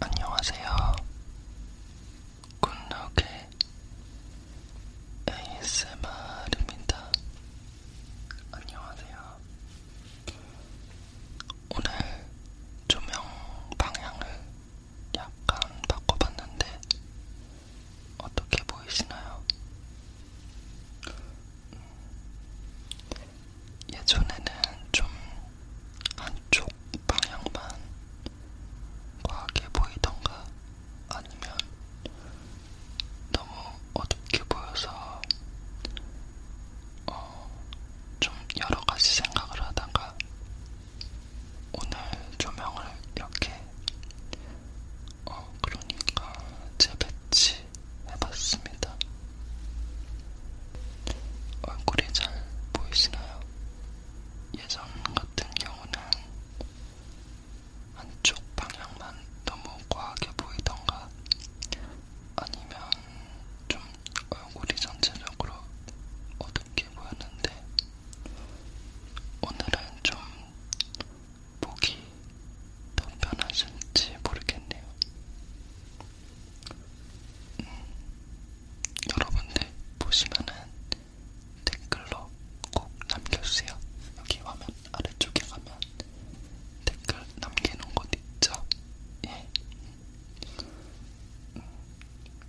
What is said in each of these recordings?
안녕하세요. 굿노게 ASMR입니다. 안녕하세요. 오늘 조명 방향을 약간 바꿔봤는데 어떻게 보이시나요? 음, 예전에는 좀 한쪽 방향만 과하게 보이던가 아니면 너무 어둡게 보여서 어, 좀 여러가지 생각을 하다가 오늘 조명을 이렇게 어, 그러니까 재배치 해봤습니다. 얼굴이 잘 보이시나요? 예전 같은 경우는 한쪽 방향만 너무 과하게 보이던가 아니면 좀 얼굴이 전체적으로 어둡게 보였는데 오늘은 좀 보기 더 편하실지 모르겠네요. 음, 여러분들 보시면은 댓글로 꼭 남겨주세요. 여기 화면 아래쪽에 가면 댓글 남기는 곳 있죠? 예. 음,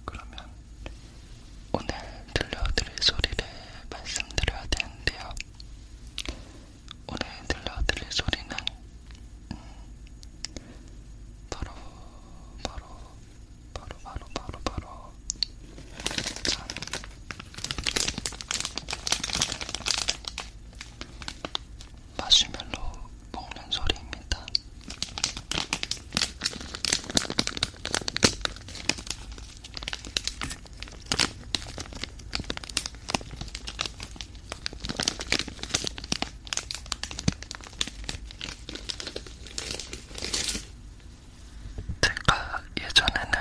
그러면 오늘 들려드릴 소리를 말씀드려야 되는데요. 오늘 들려드릴 소리는 바로 바로 바로 바로 바로 바로 짠 마시멜로 먹는 소리입니다. 제가 예전에는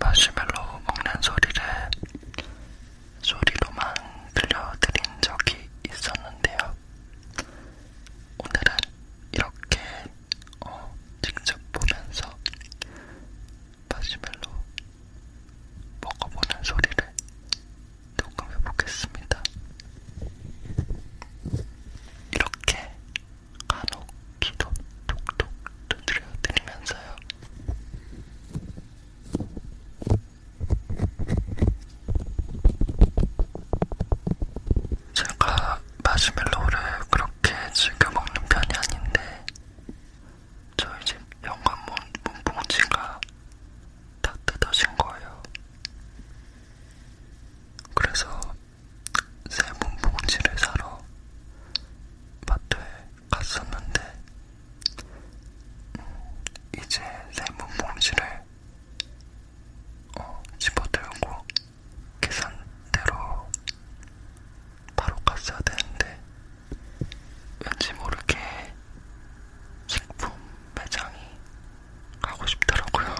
마시멜로 먹는 소리를 소리로만 들려드린 적이 있었는데요. 오늘은 이렇게 어, 직접 보면서 마시멜로 먹어보는 소리를 조금 해보겠습니다. 이렇게 간혹 기도 톡톡 두드려드리면서요. 제가 마시멜로우를 그렇게 즐겨 먹는 편이 아닌데 저희 집 현관문 문봉지가 다 뜯어진 거예요. 그래서 새 문봉지를 사러 마트에 갔었는데 음, 이제 새 문봉지를 어, 집어들고 계산대로 바로 갔어야 되는데 왠지 모르게 식품 매장이 가고 싶더라고요.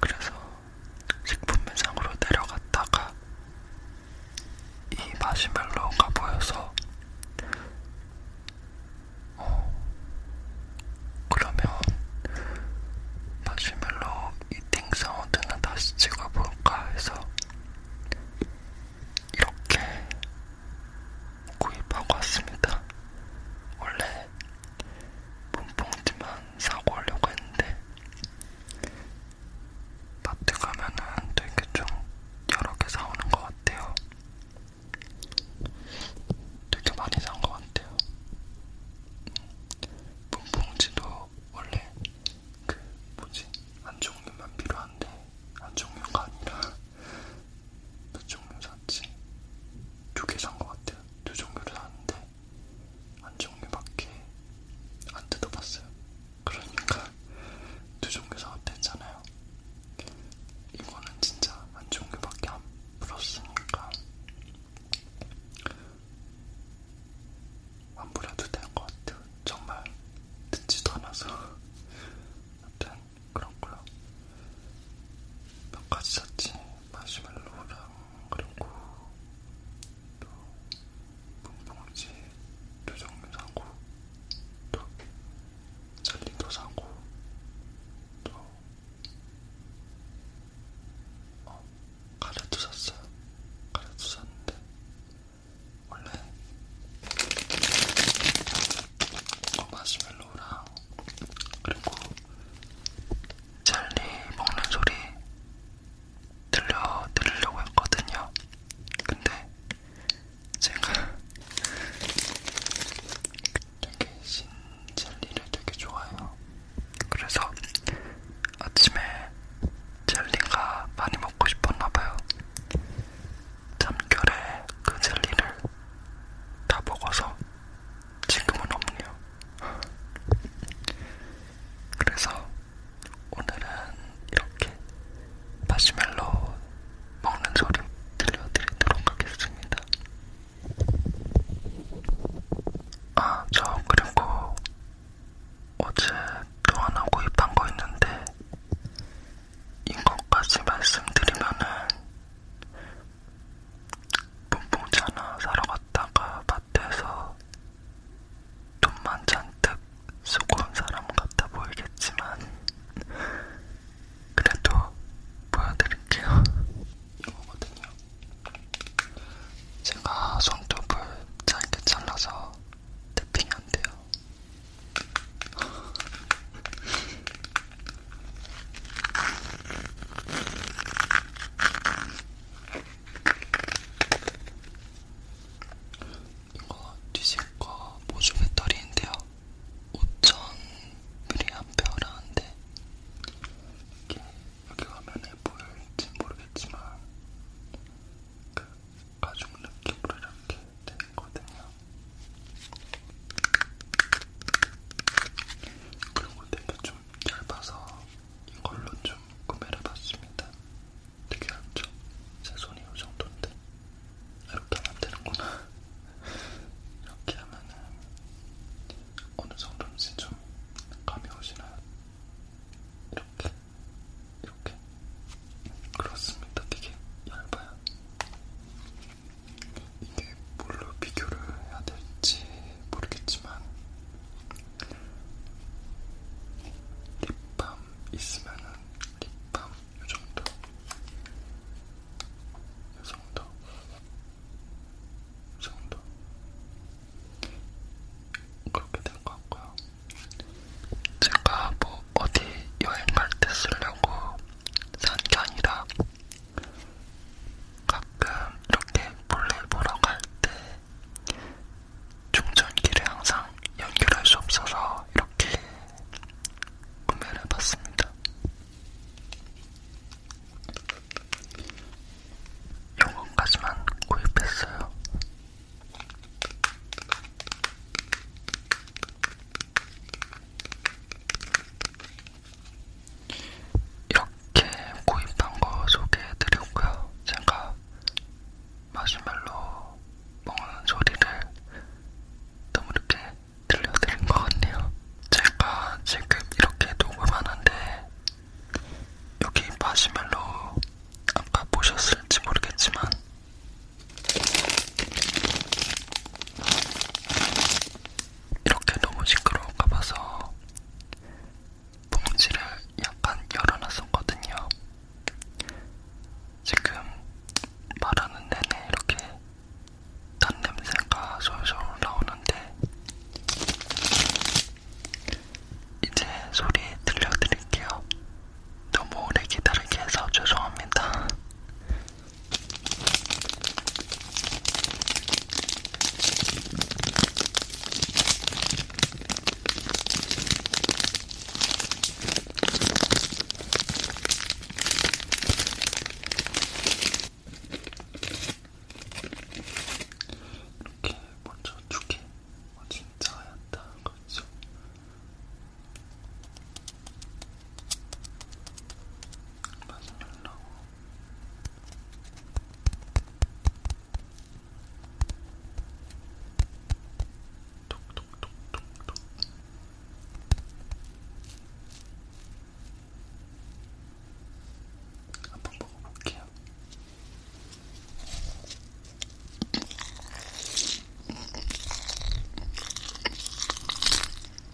그래서 식품 매장으로 내려갔다가 이 마시멜로가 보여서 어, 그러면 마시멜로 이팅 사운드는 다시 찍어볼까 해서 이렇게 구입하고 왔습니다. 원래 문봉지만 사고 하려고 했는데 마트 가면은 되게 좀 여러 개 사오는 것 같아요. 되게 많이 산 것 같아요. 문봉지도 원래 그 뭐지 한 종류만 필요한데 한 종류가 아니라 몇 그 종류 샀지? 두 개 산 것 같아요. 두 종류를 샀는데 한 종류밖에 안 뜯어봤어요. 그러니까 두 종류 사왔다 했잖아요. 이거는 진짜 한 종류밖에 안 풀었으니까 안 부려도 될것 같아요. 정말 듣지도 않아서. 아무튼 그렇고요. 몇 가지 샀지. 마시멜로랑 그리고 또 분봉지 두 종류 사고 또 젤리도 사고 또 어, 가래도 샀어요. 가래도 샀는데 원래 어, 마시멜로우랑 그리고 젤리 먹는 소리 들려드리려고 했거든요. 근데 제가 되게 신젤리를 되게 좋아해요. 그래서 아침에 젤리가 많이 먹고 싶었나봐요. 참결의 그 젤리를 다 먹어서 지금은 없네요. 그래서 오늘은 이렇게 마시멜로 먹는 소리 들려드리도록 하겠습니다. 아, 저 그리고 어제 또 하나 구입한 거 있는데 이것까지 말씀드리면은 봄봉차나 사러 갔다가 밭에서 돈만 잔뜩 쓰고 온 사람 같아 보이겠지만 그래도 보여드릴게요. 이거거든요. 제가 손톱을 짧게 잘라서 탭핑이 안 돼요. 이거 뒤집거 보조 배터리인데요. 5,000mAh인데 이게 여기 화면에 보일지 모르겠지만 그 가죽 느낌으로 이렇게 됐거든요. 그리고 되게 좀 얇아서 이걸로 좀 구매를 해봤습니다. 되게 얇죠? 제 손이 이 정도인데. 이렇게 하면 되는구나. 이렇게 하면은 어느 정도인지 좀 감이 오시나요? 이렇게, 이렇게. 그렇습니다. 되게 얇아요. 이게 뭘로 비교를 해야 될지 모르겠지만 립밤 있으면은 립밤 요정도 요정도 요정도 그렇게 된 것 같고요 제가 뭐 어디 여행 갈 때 쓰려고 선견이라 가끔 이렇게 몰래 보러 갈 때 충전기를 항상 연결할 수 없어서 이렇게 구매를 해봤습니다. 요건까지만 구입했어요. 이렇게 구입한 거 소개해드렸고요. 제가 마시멜로 먹는 소리를 너무 이렇게 들려드린 것 같네요. 제가 지금 이렇게 녹음하는데 여기 마시멜로 아까 보셨을지 모르겠지만 이렇게 너무 시끄러운가 봐서 봉지를 약간 열어놨었거든요. 지금 말하는 내내 이렇게 단 냄새가 솔솔 나오는데 이제 소리 들려드릴게요. 너무 오래 기다리게 해서 죄송합니다. 이렇게 먼저 두개 어, 진짜 하얗다 그렇죠? 가슴 열라고 톡톡톡톡톡 한번 먹어볼게요.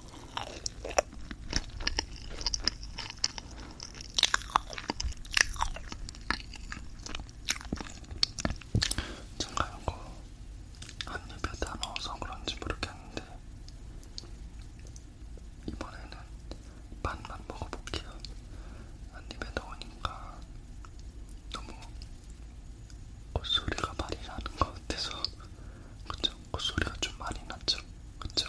제가 이거 한 입에 다 넣어서 그런지 모르겠는데 이번에는 반만 먹어볼게요. 한 입에 넣으니까 너무 콧소리가 그 많이 나는 것 같아서 그쵸? 콧소리가 그 좀 많이 났죠? 그쵸?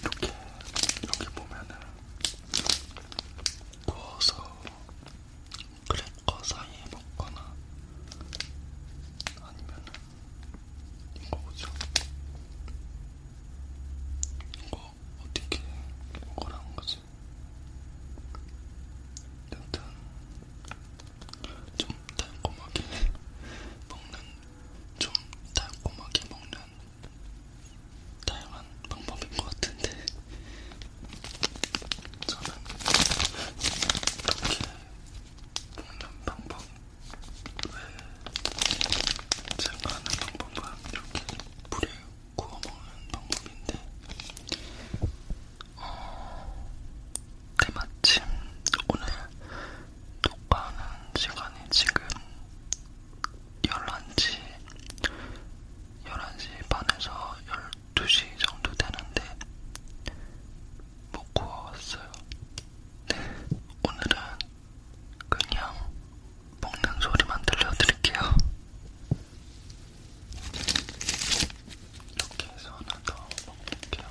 이렇게 이렇게 보면은 구워서 크래커 사이에 먹거나 아니면은 이거 뭐죠? 이거 어떻게 먹으라는 거지? 일단 좀 달콤하게 먹는 좀 달콤하게 먹는 다양한 방법인 것 같은데 저는 이렇게 먹는 방법 왜 제가 하는 방법은 이렇게 뿌려요. 구워 먹는 방법인데, 어, 때마침 오늘 녹화하는 시간이 지금 11시, 11시 반에서 12시 정도 되는데, 못 구워왔어요. 네, 오늘은 그냥 먹는 소리만 들려드릴게요. 이렇게 해서 하나 더 먹어볼게요.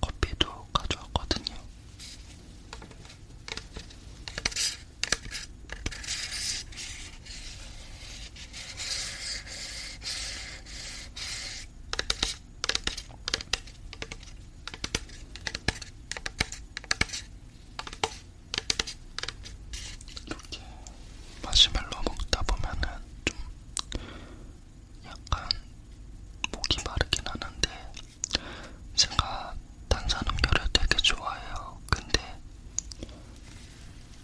이 커피도 가져왔거든요. 이렇게 마시멜로 먹다 보면은 좀 약간 목이 마르긴 하는데 제가 탄산음료를 되게 좋아해요. 근데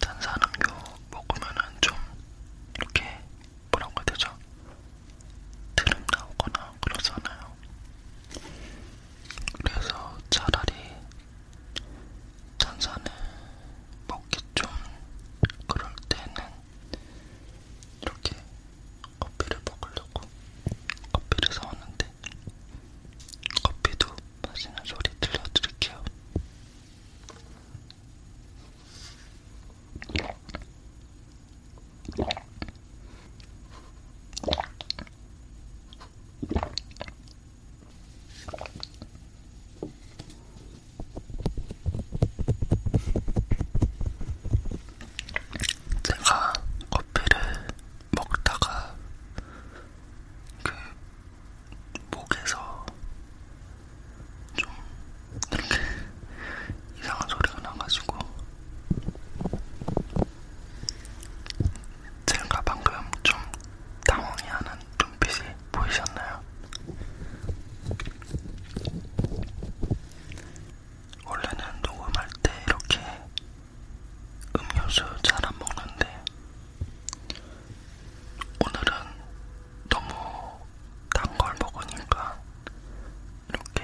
탄산음료 먹으면은 좀 이렇게 뭐라고 해야 되죠? 트름 나오거나 그러잖아요. 그래서 차라리 탄산을 먹기 좀 그럴 때는 이렇게 커피를 먹으려고 커피를 사왔는데 커피도 마시는 소리 들려드릴게요. 제가 커피를 먹다가 그 목에서 좀 이렇게 이상한 소리가 나가지고 제가 방금 좀 당황해하는 눈빛이 보이셨나요? 원래는 녹음할 때 이렇게 음료수 잘 안 먹는데 오늘은 너무 단 걸 먹으니까 이렇게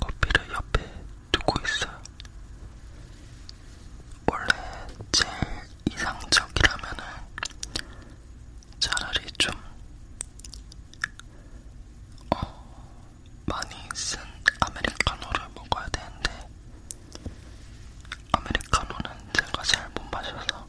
커피를 옆에 두고 있어요. 원래 제일 이상적이라면은 차라리 좀 어, 많이 쓴 아메리카노를 먹어야 되는데 아메리카노는 제가 잘 못 마셔서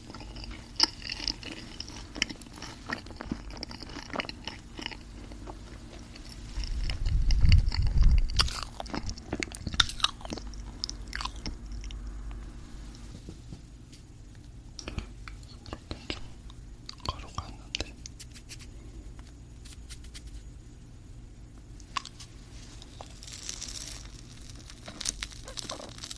되게 걸어갔는데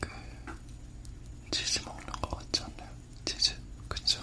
그 치즈 먹는 거 같지 않나요? 치즈, 그쵸?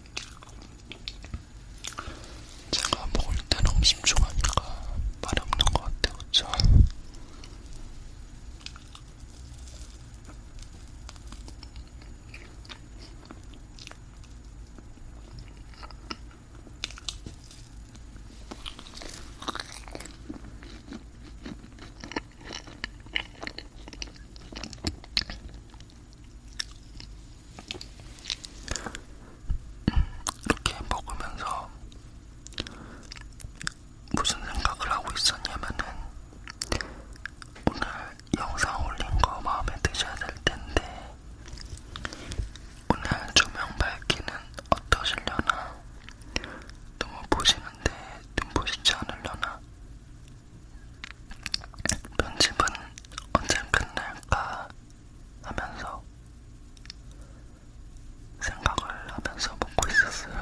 제가 먹을 때는 음식 좋아하니까 말이 없는 것 같아요, 그쵸? 이렇게 먹으면서 무슨 생각을 하고 있었냐면은 오늘 영상 올린 거 마음에 드셔야 될 텐데 오늘 조명 밝기는 어떠실려나 너무 보시는데 눈부시지 않으려나 편집은 언제 끝날까 하면서 생각을 하면서 먹고 있었어요.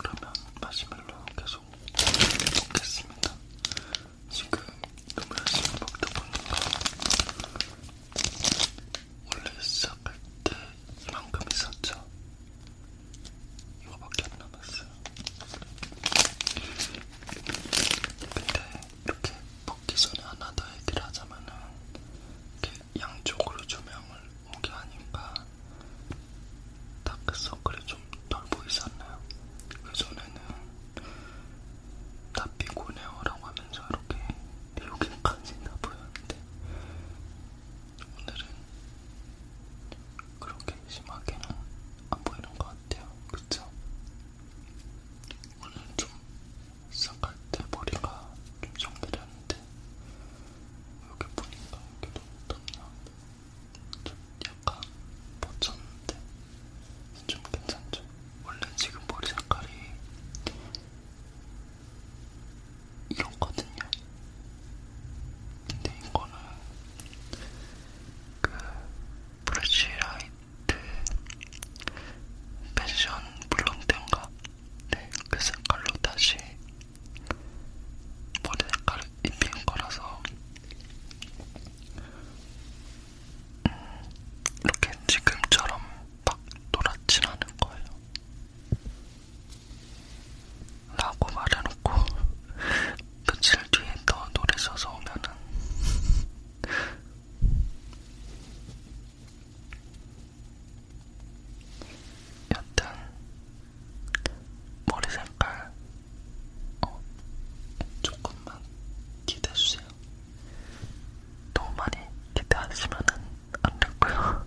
그러면 마시멜로 계속 먹겠습니다. 지금 너무 열심히 먹다 보니까 원래 시작할 때 이만큼 있었죠? 이거밖에 안 남았어요. 근데 이렇게 먹기 전에 하나 더 얘기를 하자면은 이렇게 양쪽으로 조명을 오게 하니까 다크서클이 좀덜 보이지 않나요? 그전에는 다피고네어라고 하면서 이렇게 여기까지 다 보였는데 오늘은 그렇게 심하게는 안 보이는 것 같아요. 그쵸? 오늘 좀 시작할 때 머리가 좀 정리되는데 이렇게 보니까 이렇게 너무 땀나좀 약간 뻗쳤는데 좀 괜찮죠? 원래 지금 머리 색깔이 이렇거든요. 근데 이거는 그 브러쉬 라이트 그 패션 블론드인가? 네, 그 색깔로 다시 머리 색깔을 입힌 거라서 음, 이렇게 지금처럼 막 노랗진 않을 거예요. 라고 말해놓고 며칠 뒤에 더 노래 써서 오면은 여튼 머리 색깔 어, 조금만 기대해주세요. 너무 많이 기대하시면 안 되고요.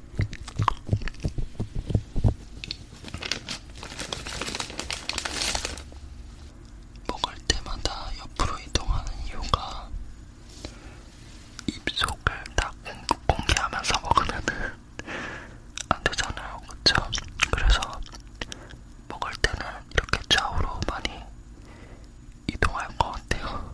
먹을 때마다 옆으로 이동하는 이유가 입속을 딱 공개하면서 먹으면은 안 되잖아요, 그쵸? 그래서 먹을 때는 이렇게 좌우로 많이 이동할 것 같아요.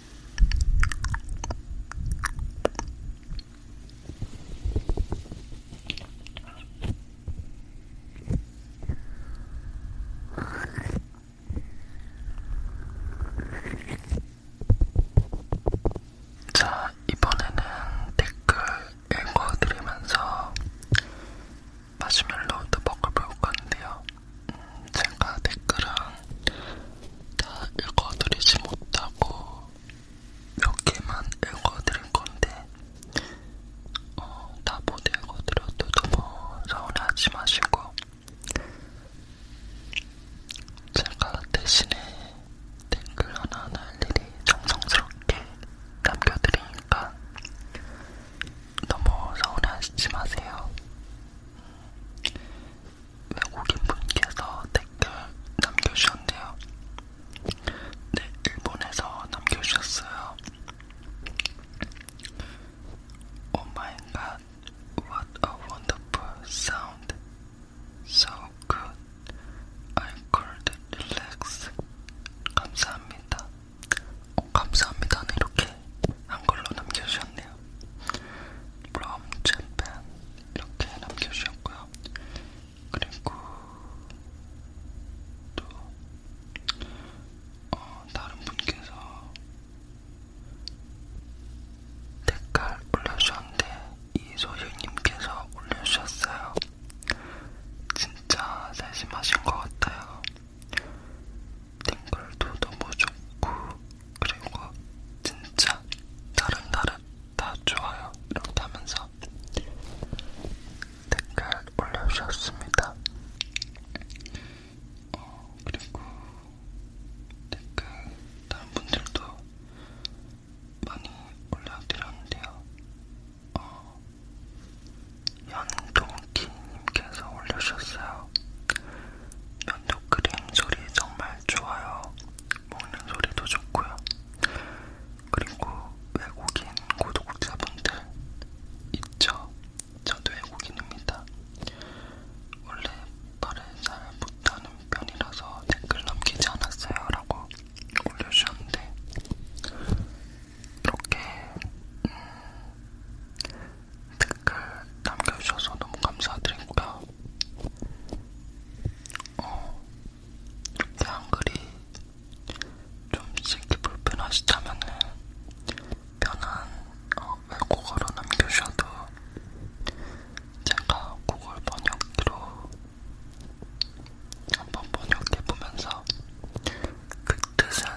자, 이번에는 댓글 읽어드리면서 마시멜로우도 먹어볼 건데요. 제가 댓글은 다 읽어드리지 못하고 몇 개만 읽어드릴 건데 어, 다못 읽어드려도 너무 서운하지 마시고 제가 대신에 댓글 하나 날일이 정성스럽게 남겨드리니까 너무 서운하지 마세요. 외국인 분께서 댓글 남겨주셨네요. 네, 일본에서 남겨주셨어요. Oh my god, what a wonderful sound! So good. I could relax. 감사합니다. 어, 감사합니다. 이렇게 한글로 남겨주셨네요. from Japan 이렇게 남겨주셨고요. 그리고 또 어, 다른 분께서 댓글 올려주셨는데 이소유님께서 올려주셨어요. 진짜 세심하신 것 같아요. 댓글도 너무 좋고 그리고 진짜 다른 날은 다 좋아요 이렇게 하면서 댓글 올려주셨습니다. 어, 그리고 댓글 다른 분들도 많이 올려드렸는데요. 어, 연동키님께서 올려주셨어요. 면도크림 소리 정말 좋아요. 먹는 소리도 좋고요. 그리고 외국인 구독자분들 있죠? 저도 외국인입니다. 원래 말을 잘 못하는 편이라서 댓글 남기지 않았어요 라고 올려주셨는데 이렇게 음, 댓글 남겨주셔서 너무 감사드리고요. 어, 이렇게 한글이 좀 쓰기 불편하시다면은 편한 어, 외국어로 남겨주셔도 제가 구글 번역기로 한번 번역해보면서 그 뜻은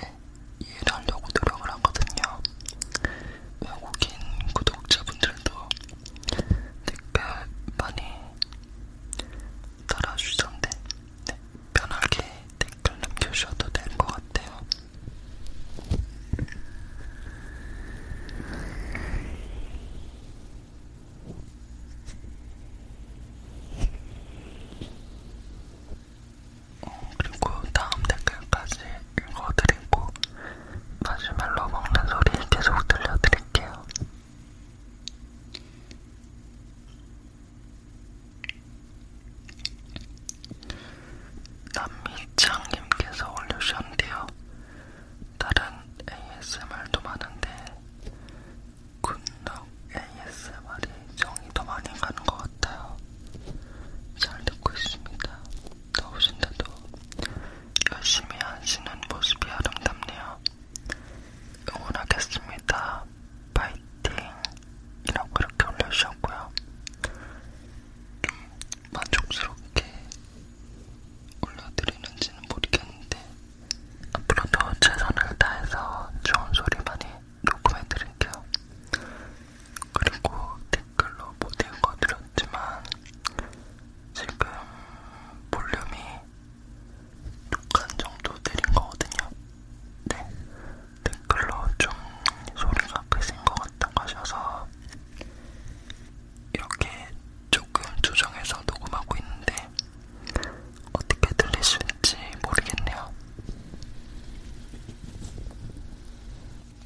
네, 이해를 하려고 노력을 하거든요. 외국인 구독자분들도 댓글 많이 달아주던데 네, 편하게 댓글 남겨주셔도 될 것 같아요. 어, 그리고 다음 댓글까지 읽어드리고 마시멜로 먹는 소리 계속 들려드릴게요. 남미짱님께서 올려주셨는데요. 다른 ASMR도 많은데 굿럭 ASMR이 정이 더 많이 가는 것 같아요. 잘 듣고 있습니다. 더우신데도 열심히 하시는 모습이 아름답네요. 응원하겠습니다. 파이팅! 이라고 이렇게 올려주셨고요. 좀 만족스럽게 올려드리는지는 모르겠는데 앞으로도 최선을 다해서 좋은 소리 많이 녹음해드릴게요. 그리고 댓글로 못 읽어드렸지만 지금 볼륨이 독한 정도 내린 거거든요. 네, 댓글로 좀 소리가 크신 것 같다고 하셔서 이렇게 조금 조정해서 녹음하고 있는데 어떻게 들리실지 모르겠네요.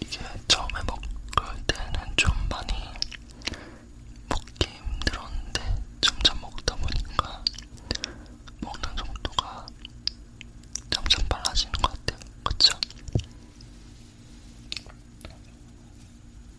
이게 처음에 먹을 때는 좀 많이 먹기 힘들었는데 점점 먹다 보니까 먹는 속도가 점점 빨라지는 것 같아요. 그쵸?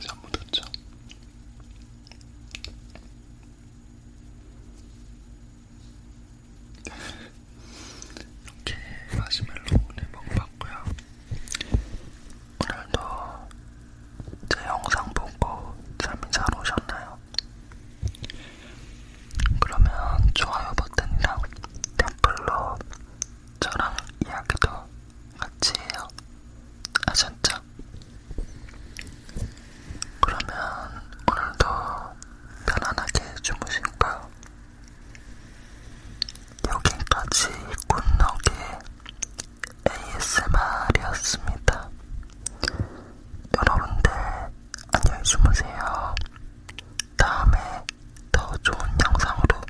잠못 잤죠? 이렇게 마시멜로 오늘 먹어봤고요. 오늘도 제 영상 보고 잠이 잘 오셨나요? 그러면 좋아요 버튼이랑 댓글로 저랑 이야기도 같이 해요. 아셨죠? 그러면 오늘도 편안하게 주무시고요. 여기까지 굿너의 ASMR이었습니다. 여러분들 안녕히 주무세요. 다음에 더 좋은 영상으로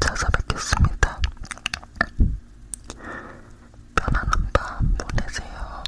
찾아뵙겠습니다. 편안한 밤 보내세요.